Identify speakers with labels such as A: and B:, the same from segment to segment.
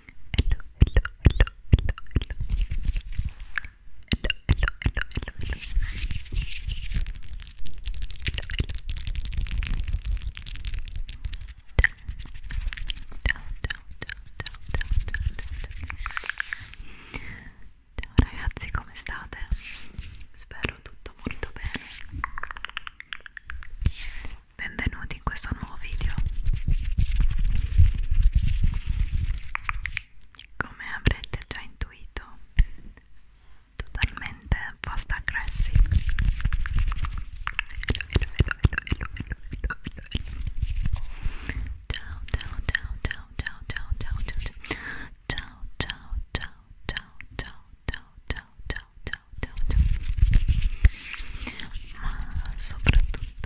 A: hello, hello, hello, hello, hello, hello, hello, hello, hello. Ciao ragazzi, come state? Spero tutto molto bene benvenuti in questo nuovo video come avrete già intuito totalmente fast aggressive ciao ciao ciao ciao ciao ciao ciao ciao ciao ciao ciao ciao ciao ciao ciao ciao ciao ciao ciao ma soprattutto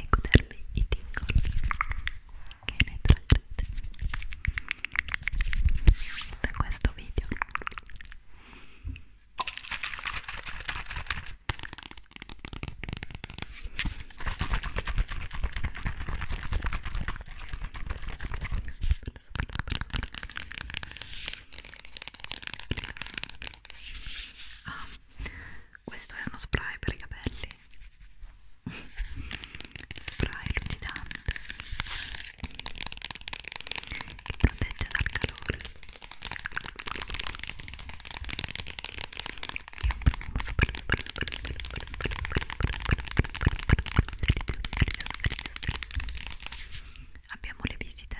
A: e godermi i tingoli che ne trarrete da questo video Perfetto. Ah, questo è uno spray per i capelli. spray lucidante che protegge dal calore. È un profumo super super super super super super Abbiamo le visite,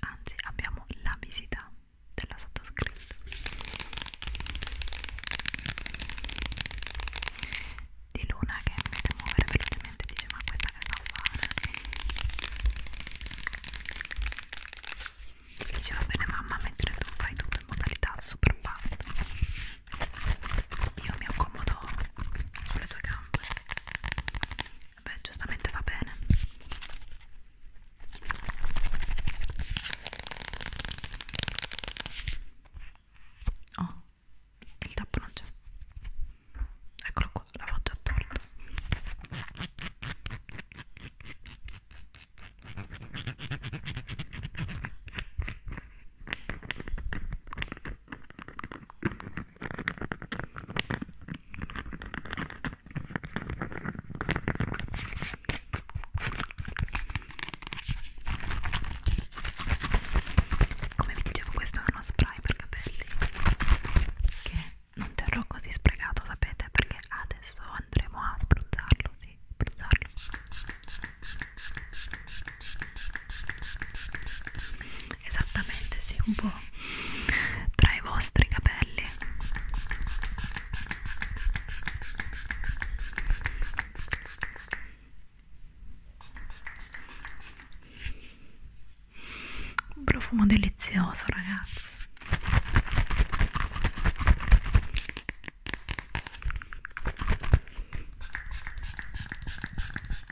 A: anzi abbiamo la visita della sottoscritta di Luna che mi deve muovere velocemente dice ma questa che sta a fare dice va bene mamma mentre tu fai tutto in modalità super fast io mi accomodo sulle tue gambe Beh, giustamente va bene. Oh, il tappo non c'è. Eccolo qua, la faccia attorno. Come vi dicevo questo è uno spray per capelli che non terrò così sprecato sapete perché adesso andremo a spruzzarlo, sì, spruzzarlo esattamente sì un po' tra i vostri capelli un profumo delizioso ragazzi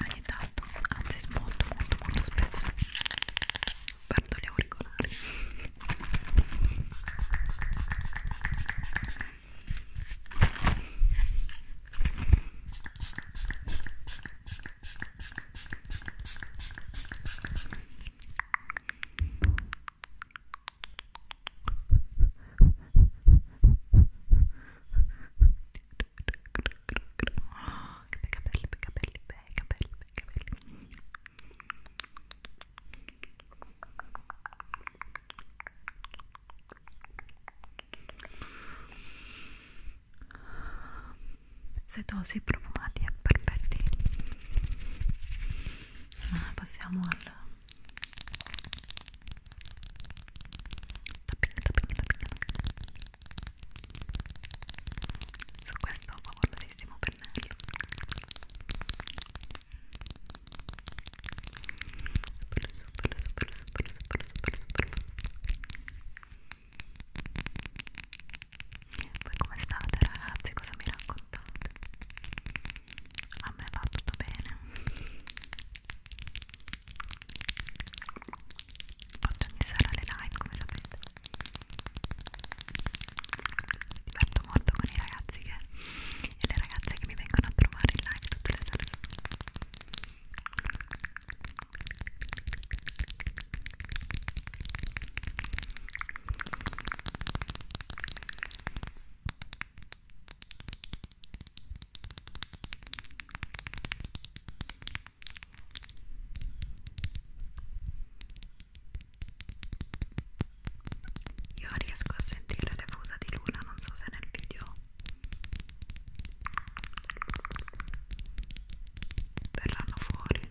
A: ogni tanto, anzi molto molto molto spesso perdo gli auricolari Oh, che bei capelli, bei capelli, bei capelli, bei capelli. Setosi, profumati e perfetti. Ah, passiamo al tapping, tapping, tapping su questo favolosissimo pennello super super super super super super super voi come state ragazzi? cosa mi raccontate? a me va tutto bene Oggi ci sarà le live come sapete Mi diverto molto con i ragazzi che, e le ragazze che mi vengono a trovare in live tutte le sere Ciao io riesco a sentire le fusa di luna, non so se nel video verranno fuori.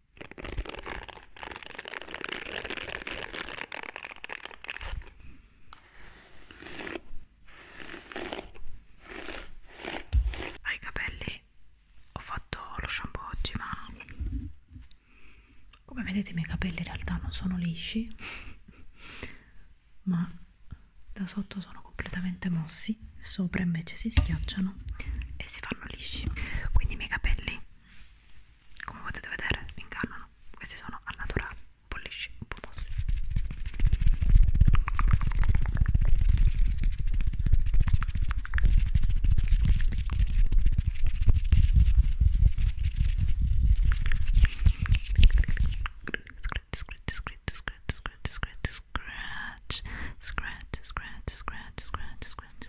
A: Ai capelli ho fatto lo shampoo oggi, ma come vedete i miei capelli in realtà non sono lisci, ma da sotto sono completamente mossi, sopra invece si schiacciano e si fanno lisci. Quindi i miei capelli come potete vedere ingannano questi sono al naturale un po' lisci un po' mossi scratch scratch scratch scratch scratch scratch scratch scratch scratch scratch scratch scratch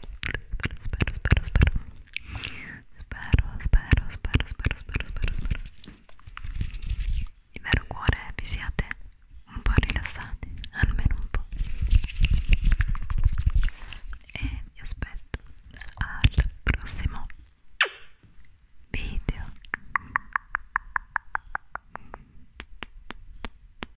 A: spero, spero, spero spero, spero, spero, spero, spero, spero, spero il vero cuore vi siate un po' rilassati, almeno un po' e vi aspetto al prossimo video